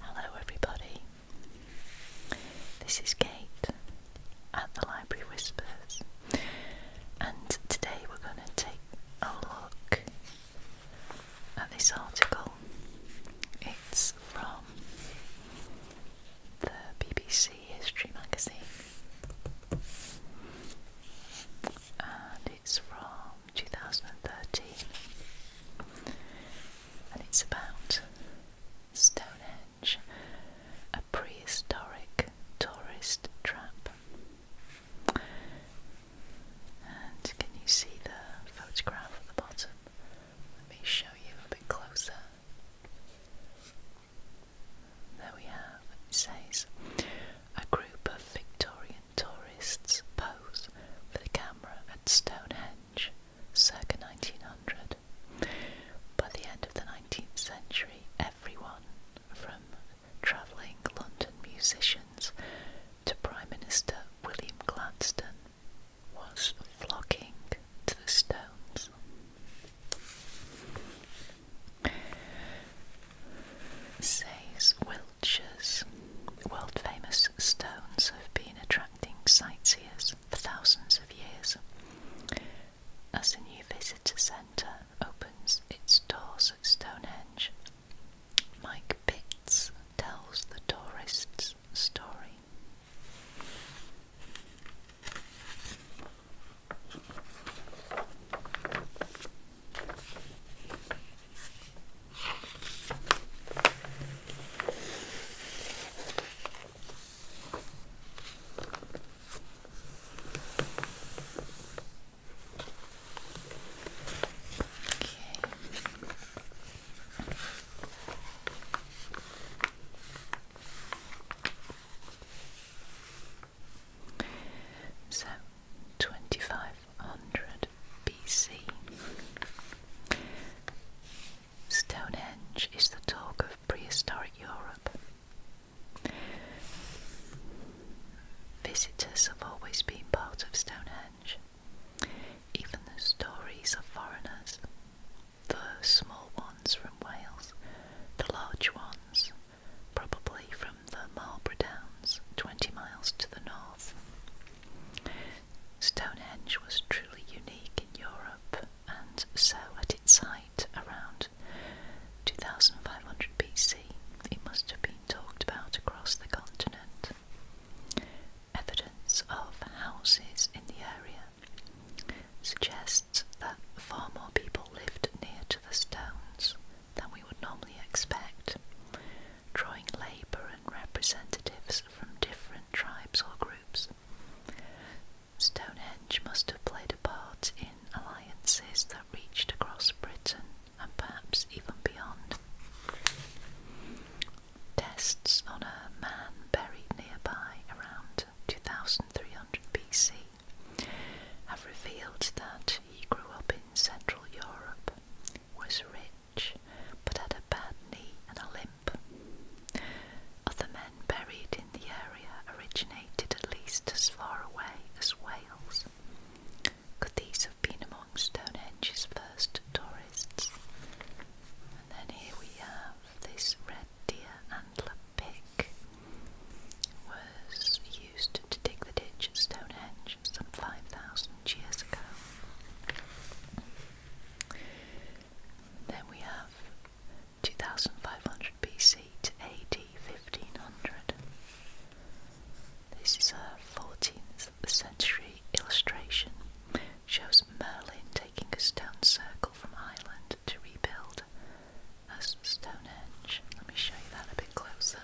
Hello, everybody. This is Kate at the Library Whispers, and today we're going to take a look at this article. It's from the BBC History magazine, it's from 2013 and it's about Stonehenge, a prehistoric tourist trap. And can you see the photograph at the bottom? Let me show you a bit closer. There we have, it says, a group of Victorian tourists pose for the camera at Stonehenge circa 1900. By the end of the 19th century, everyone from travelling London musicians to Prime Minister William Gladstone was flocking to the stones. Says Wiltshire's World famous stones have been attracting sightseers for thousands of years. As the new visitor centre opens its doors at Stonehenge, Mike Pitts tells the tourists' story. So, twenty five 1200 BC. Stonehenge is the talk of prehistoric Europe. Visitors have always been part of Stonehenge, even the stories of foreigners, the small ones from Wales, the large ones probably from the Marlborough Downs, 20 miles to the north. Stonehenge was truly unique in Europe, and so at its height around 2500 BC, it must have been talked about across the continent. Evidence of houses in the area suggests that far more people lived near to the stones than we would normally expect, drawing labour and representatives from different tribes or groups. Stonehenge must have played a part in alliances that reached across Britain and perhaps even beyond. Tests on a man buried nearby around 2300 BC have revealed that he grew up in Central Europe, was rich but had a bad knee and a limp. Other men buried in the area originated at least as far away as Wales. Could these have been among Stonehenge's first tourists? And then here we have this red deer antler pick was used to dig the ditch at Stonehenge some 5,000 years ago. Then we have 2500 BC to AD 1500. This is a 14th century illustration. Shows Merlin taking a stone circle from Ireland to rebuild as Stonehenge. Let me show you that a bit closer.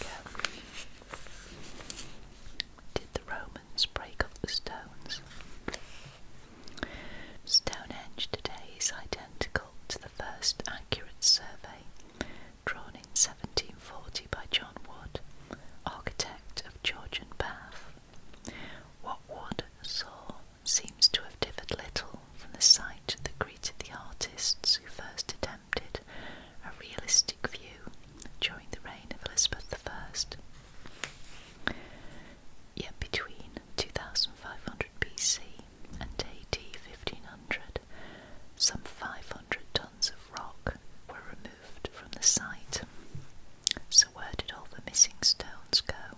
There we Did the Romans break up the stones? Stonehenge today is identical to the first accurate survey drawn in 1740 by John Wood, architect of Georgian Bath. What Wood saw seems to have differed little from the sight that greeted the artists who first attempted a realistic view during the reign of Elizabeth I. Yet between 2500 BC and AD 1500, some 500 tons of rock were removed from the site. So, where did all the missing stones go?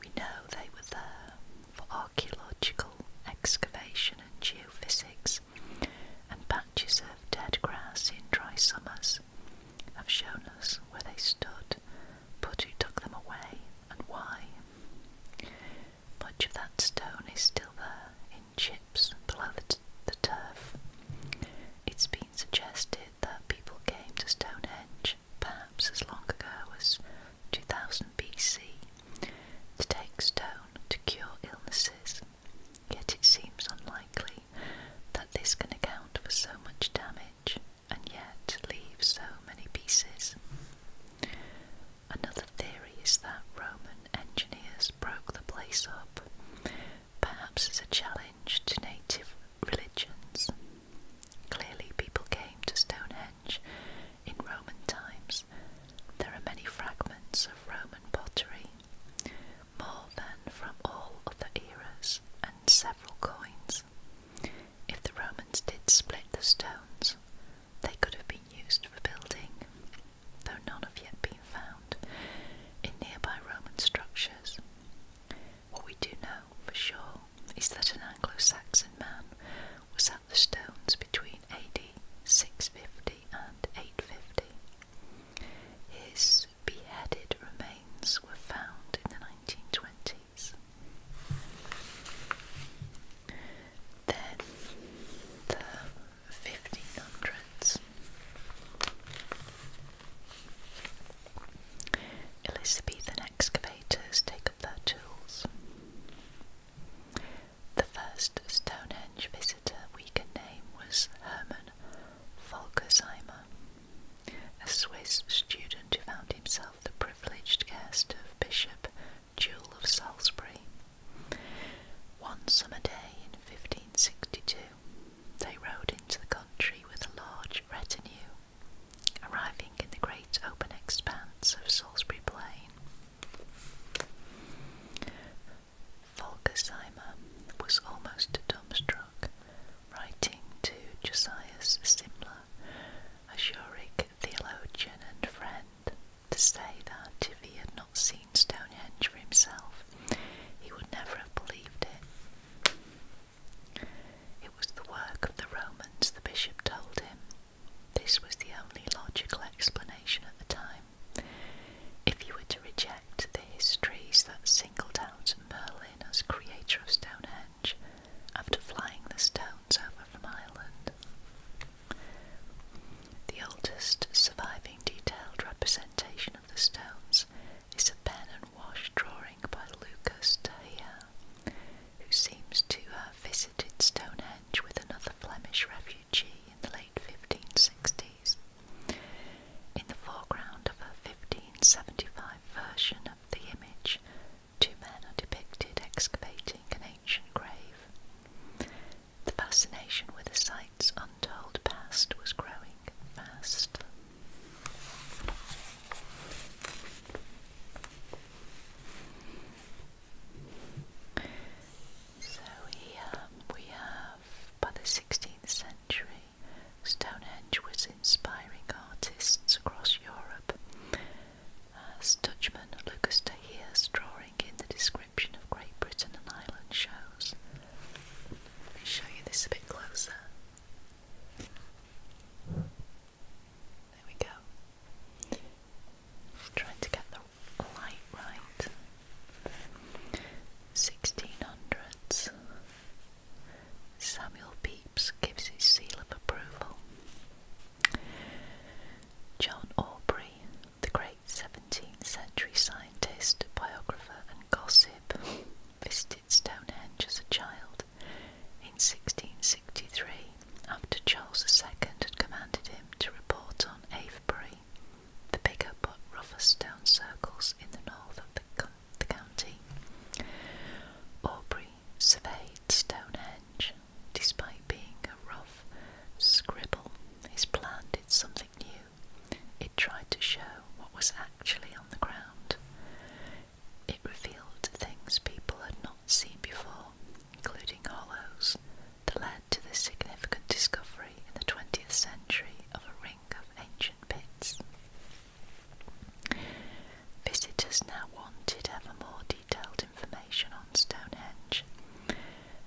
We know they were there for archaeological excavation and geophysics, and patches of dead grass in dry summers have shown us where they stood, but who took them away and why. Much of that stone is still there in chips below the turf. It's been suggested that people came to Stonehenge perhaps as long ago as 2000 BC to take stone to cure illnesses, yet it seems unlikely that this can account for so much damage and yet leave so many pieces. Another theory is that Roman engineers broke the place up perhaps as a challenge to native religions. Clearly, people came to Stonehenge in Roman times. There are many fragments of Roman pottery, more than from all other eras, and several coins. If the Romans did split the stones, they could have been used for building, though none have yet been found in nearby Roman structures. What we do know for sure is that an Anglo Saxon man was at the stones between AD 650 and 850. His beheaded remains were found in the 1920s. Then the 1500s. Elizabethan excavators take up their tools. The first Stonehenge visitor we can name was Herman Volkersheimer, a Swiss student who found himself the privileged guest of Bishop Jewel of Salisbury. One summer day in 1562, they rode into the country with a large retinue, arriving in the great open expanse of Salisbury Plain. Volkersheimer was almost dumbstruck, writing to Josias Simler, a Zurich theologian and friend, to say that if he had not seen Stonehenge for himself, he would never have believed it. It was the work of the Romans, the bishop told him. This was the only logical explanation at the time. If you were to reject the histories that singled out Merlin as creator of Stonehenge after flying the stones over from Ireland, the oldest surviving detailed representation the stones is a pen and wash drawing by Lucas de Tahir, who seems to have visited Stonehenge with another Flemish refugee in the late 1560s. In the foreground of a 1575 version of the image, two men are depicted excavating an ancient grave. The fascination with the site's untold past was growing fast. So um, we have, by the 16th century, Stonehenge was inspiring artists across Europe, as Dutchman Lucas de Heer's drawing in the description of Great Britain and Ireland shows. Let me show you this a bit closer. There we go. Trying to get the light right. 1600s. Samuel Pepys gives his seal of approval. John Aubrey, the great 17th century scientist, biographer, and gossip, Stonehenge as a child in 1663 after Charles II had commanded him to report on Avebury, the bigger but rougher stone circles in the north of the, county. Aubrey surveyed Stonehenge. Despite being a rough scribble, his plan did something new it tried to show what was actually on the ground. It revealed things people had not seen before, including hollows, that led to the significant discovery in the 20th century of a ring of ancient pits. Visitors now wanted ever more detailed information on Stonehenge,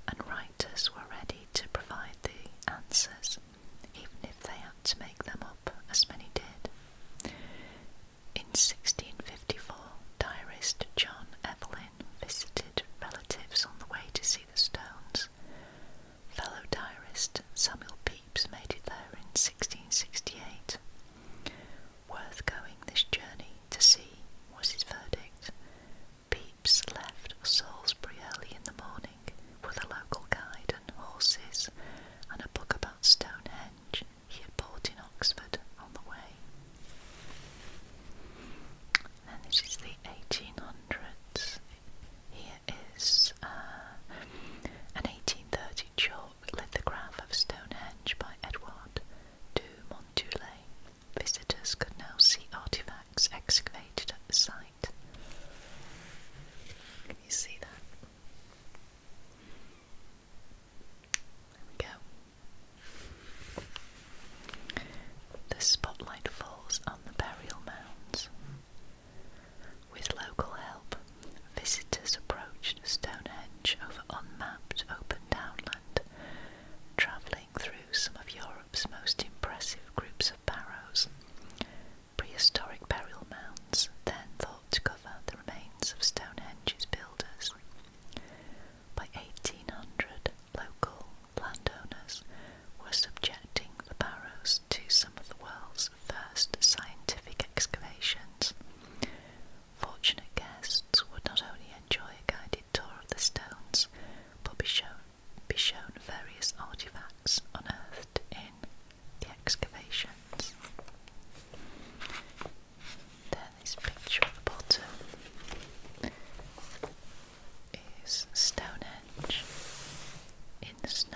and writers were ready to provide the answers even if they had to make them up, as many did. In 1654, diarist John Evelyn visited relatives on the way to see the stones. Fellow diarist Samuel Pepys made it there in 1668. Worth going this journey to see was his verdict. Pepys left Salisbury early in the morning with a local guide and horses and a book about Stonehenge he had bought in Oxford on the way. And this is the 1800s. Here is uh, an 1830 chalk lithograph of Stonehenge by Edouard de Montoulay. Visitors could now see artifacts excavated at the site can you see that? There we go. The spotlight falls on the burial mounds. With local help, visitors approached Stonehenge over unmapped open downland, travelling through some of Europe's most impressive groups of barrows, Prehistoric burial mounds, then thought to cover the remains of Stonehenge's builders. By 1800, local landowners were subjecting the barrows to some of the world's first scientific excavations. Fortunate guests would not only enjoy a guided tour of the stones, but be shown be shown various artifacts unearthed in the excavations. Then this picture at the bottom is Stonehenge in the snow.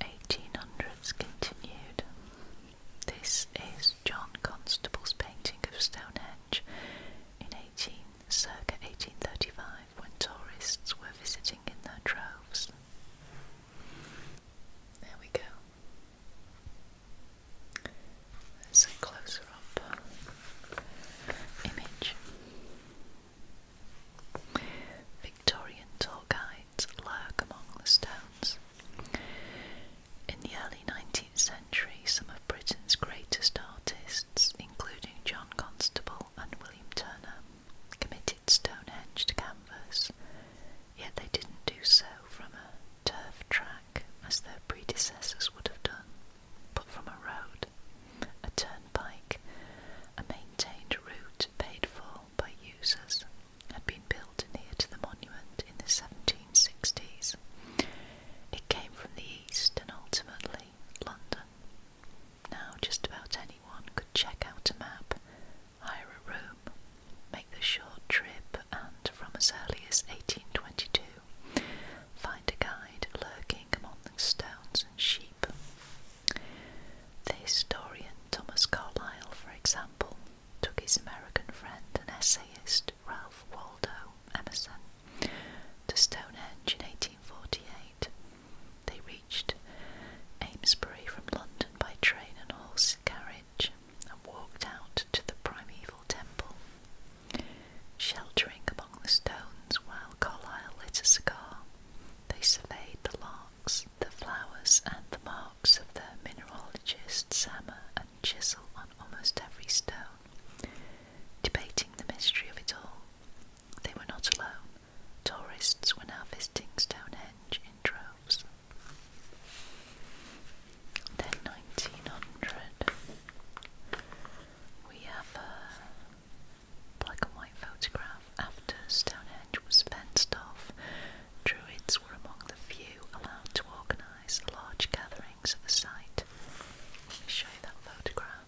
1800s continued. This is John Constable's painting of Stonehenge in 18, circa 1835 when tourists were visiting in their droves. There we go. There's closer up image. Victorian Torguides lurk among the stones. In the early 19th century, some of Britain's greatest artists, including John Constable and William Turner, committed Stonehenge to canvas, yet they didn't do so from a turf track as their predecessors would have done, but from a road, a turnpike, a maintained route paid for by users, had been built near to the monument in the 1760s. It came from the east and ultimately London. Now just about anyone could check out a map, hire a room, make the short trip, and from as early as 1822, find a guide lurking among the stones and sheep. The historian Thomas Carlyle, for example, took his American friend and essayist Ralph Waldo Emerson to Stonehenge in 1848. They reached Amesbury from London by train and horse carriage and walked out to the primeval temple. Sheltering among the stones while Carlyle lit a cigar, they surveyed the larks, the flowers, and the marks of the mineralogists' hammer and chisel on almost every stone, debating the mystery of it all. They were not alone. Tourists were now visiting Stonehenge in droves. Then 1900, we have a black and white photograph after Stonehenge was fenced off. Druids were among the few allowed to organise large gatherings at the site. Let me show you that photograph.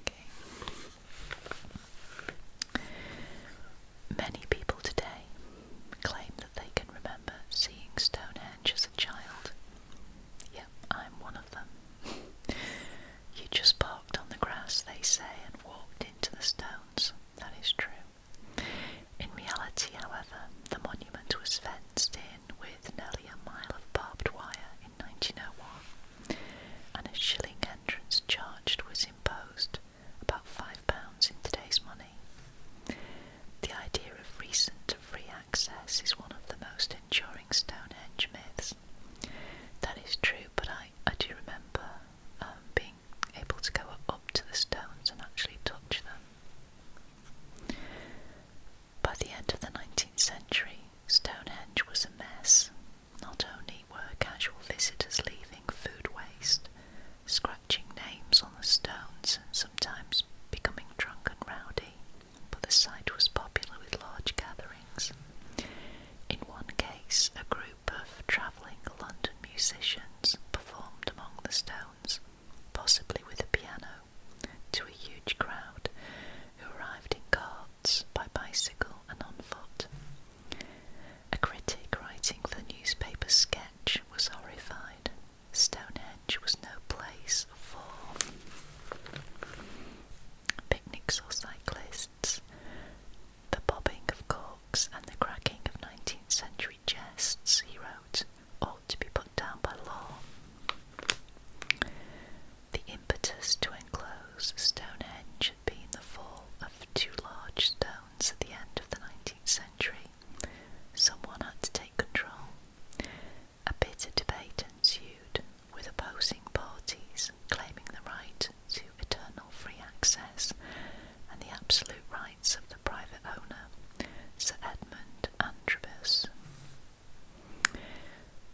Okay. Many people today claim that they can remember seeing Stonehenge as a child. Yep, I'm one of them. You just parked on the grass, they say, and walked into the stones. That is true. In reality, however, the monument was fenced in with nearly a mile of barbed wire in 1901 and a shilling entrance charge was imposed, about £5 in today's money. The idea of recent free access is one of the most enduring Stonehenge myths. That is true, but I, I do remember um, being able to go up to the stones and actually touch them. By the end of the 19th century, Stonehenge was a mess not only were casual visitors leaving food waste, scratching names on the stones, and sometimes becoming drunk and rowdy, but the site was popular with large gatherings. In one case, a group of travelling London musicians performed among the stones, possibly with a piano, to a huge crowd who arrived in carts, by bicycle, and on foot. A critic writing for the newspaper Sketch was horrified. Stonehenge was no place for picnics or cyclists. The bobbing of corks and the cracking of 19th century chests, he wrote, ought to be put down by law. The impetus to enclose Stonehenge had been the fall of two large stones at the end of the 19th century. Someone had to take control. A bitter debate ensued, with opposing parties claiming the right to eternal free access and the absolute rights of the private owner, Sir Edmund Antrobus.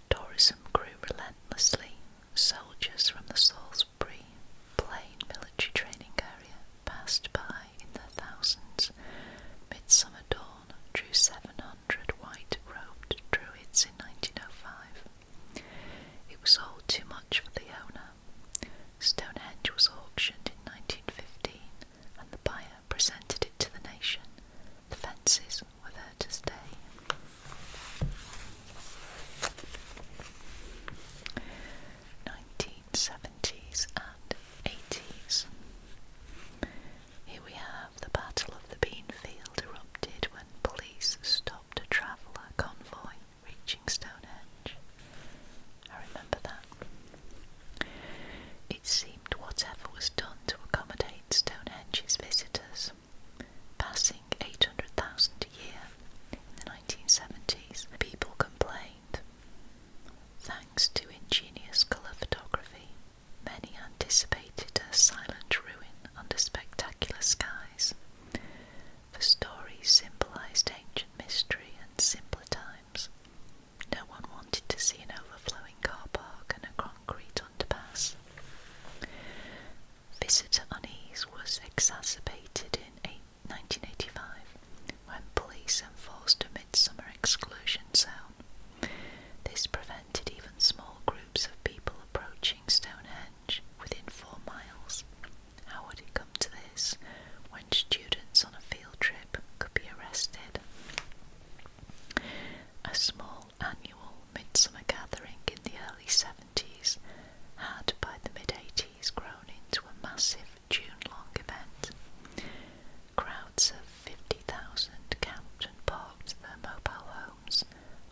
Tourism grew relentlessly soldiers from the Salisbury Plain military training area passed by in the thousands. Midsummer Dawn drew 700 white-robed druids in 1905. It was sold too much for the owner. Stonehenge was auctioned in 1915 and the buyer presented it to the nation. The fences days with her to stay. Nineteen seventies and eighties. Here we have the Battle of the Beanfield erupted when police stopped a travel convoy reaching Stonehenge. I remember that. It seemed whatever was done to accommodate Stonehenge's visitors passing 800,000 a year in the 1970s. People complained. Thanks to ingenious colour photography, many anticipated a silent ruin under spectacular skies. The stories symbolised ancient mystery and simpler times. No one wanted to see an overflowing car park and a concrete underpass. Visitor unease was exacerbated in 1985 when police enforced a midsummer exclusion zone. This prevented even small groups of people approaching Stonehenge within four miles. How would it come to this when students on a field trip could be arrested? A small annual midsummer gathering in the early 70s 1970s had by the mid 80s grown into a massive June long event. Crowds of 50,000 camped and parked their mobile homes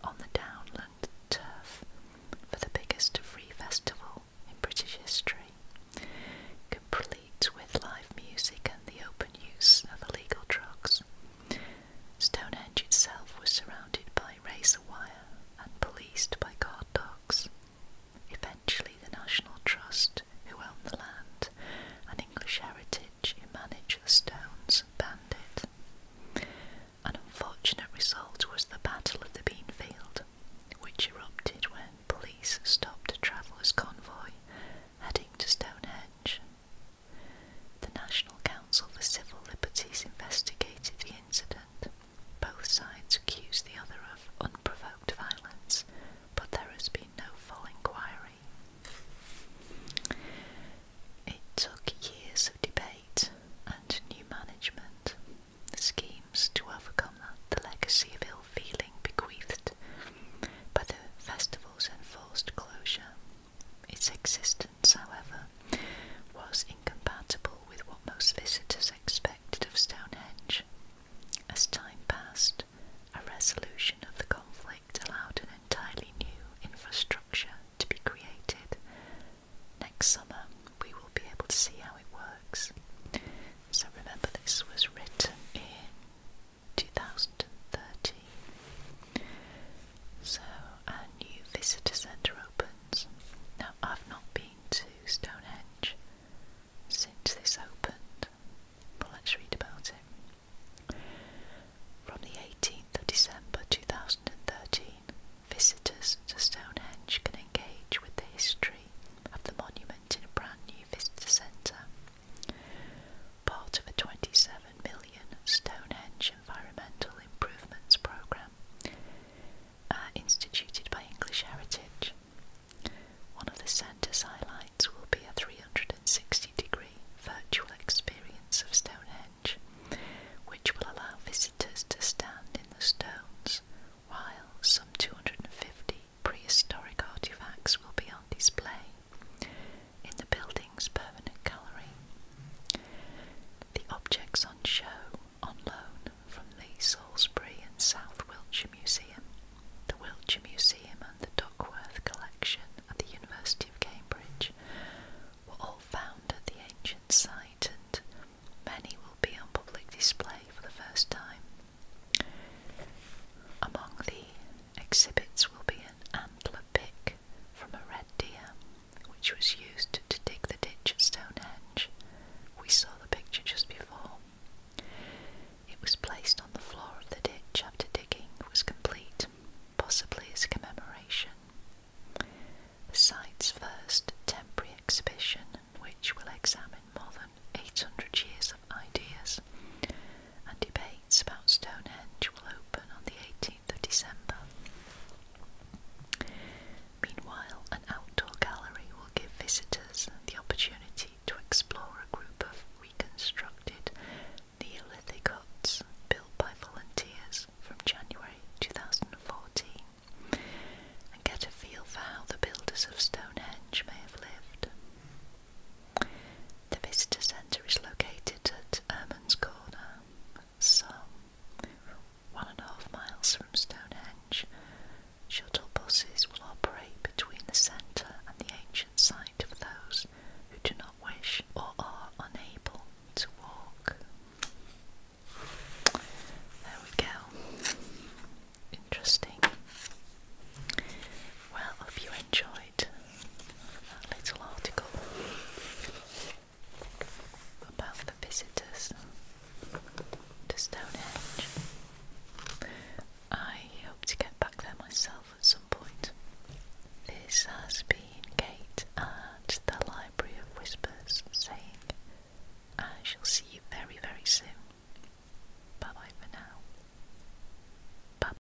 on the downland turf for the biggest free festival in British history, complete with live music and the open use of illegal drugs. Stonehenge itself was surrounded by razor wire and policed by guard dogs. Eventually, the National Trust, who owned the land and English Heritage, managed the stones, and banned it. An unfortunate result was the Battle of the Beanfield, which erupted when police stopped a travellers' convoy heading to Stonehenge. The National Council for Civil Liberties investigated the incident. Both sides accused the other of unprovoked violence, but there has been no full inquiry. It took years of debate and new management schemes to overcome the legacy of ill feeling bequeathed by the festival's enforced closure. Its existence, however, was incompatible with what most visitors expected of Stonehenge. As time passed, a resolution of the conflict allowed an entirely new infrastructure to be created. Next summer, we will be able to see how it works. So remember, this was written in 2013. So, a new visitor centre opens. Now, I've not been to Stonehenge since this opened, but let's read about it. From the 18th of December 2013, visitors to Stonehenge can engage with the history of the monument in a brand new visitor centre. Part of a 27 million Stonehenge Environmental Improvements Programme uh, instituted by English Heritage. One of the centre's highlights will be a 360 degree virtual experience of Stonehenge, which will allow visitors to stand in the stones while some 250 prehistoric artefacts will be on display, in the building's permanent gallery. The objects on show on loan from the Salisbury and South Wiltshire Museum, the Wiltshire Museum, and the Duckworth Collection at the University of Cambridge were all found at the ancient site, and many will be on public display for the first time. Among the exhibits will be an antler pick from a red deer which was used to dig the ditch at Stonehenge. We saw the picture just before. It was placed on the floor of the ditch after digging was complete, possibly as a commemoration. The site's first temporary exhibition, which will examine more than 800 years of ideas and debates about Stonehenge, will open on the 18th. Meanwhile, an outdoor gallery will give visitors the opportunity to explore a group of reconstructed Neolithic huts built by volunteers from January 2014 and get a feel for how the builders of Stonehenge may have lived. The visitor centre is located at Erman's Corner some one and a half miles from Stonehenge, shuttle buses will operate between the centre and the ancient site for those who do not wish or are unable to walk. There we go. Interesting. Well, hope you enjoyed that little article about the visitors to Stonehenge. I hope to get back there myself at some point. This has been Kate at the Library of Whispers saying, I shall see you very, very soon. Bye bye for now. -bye.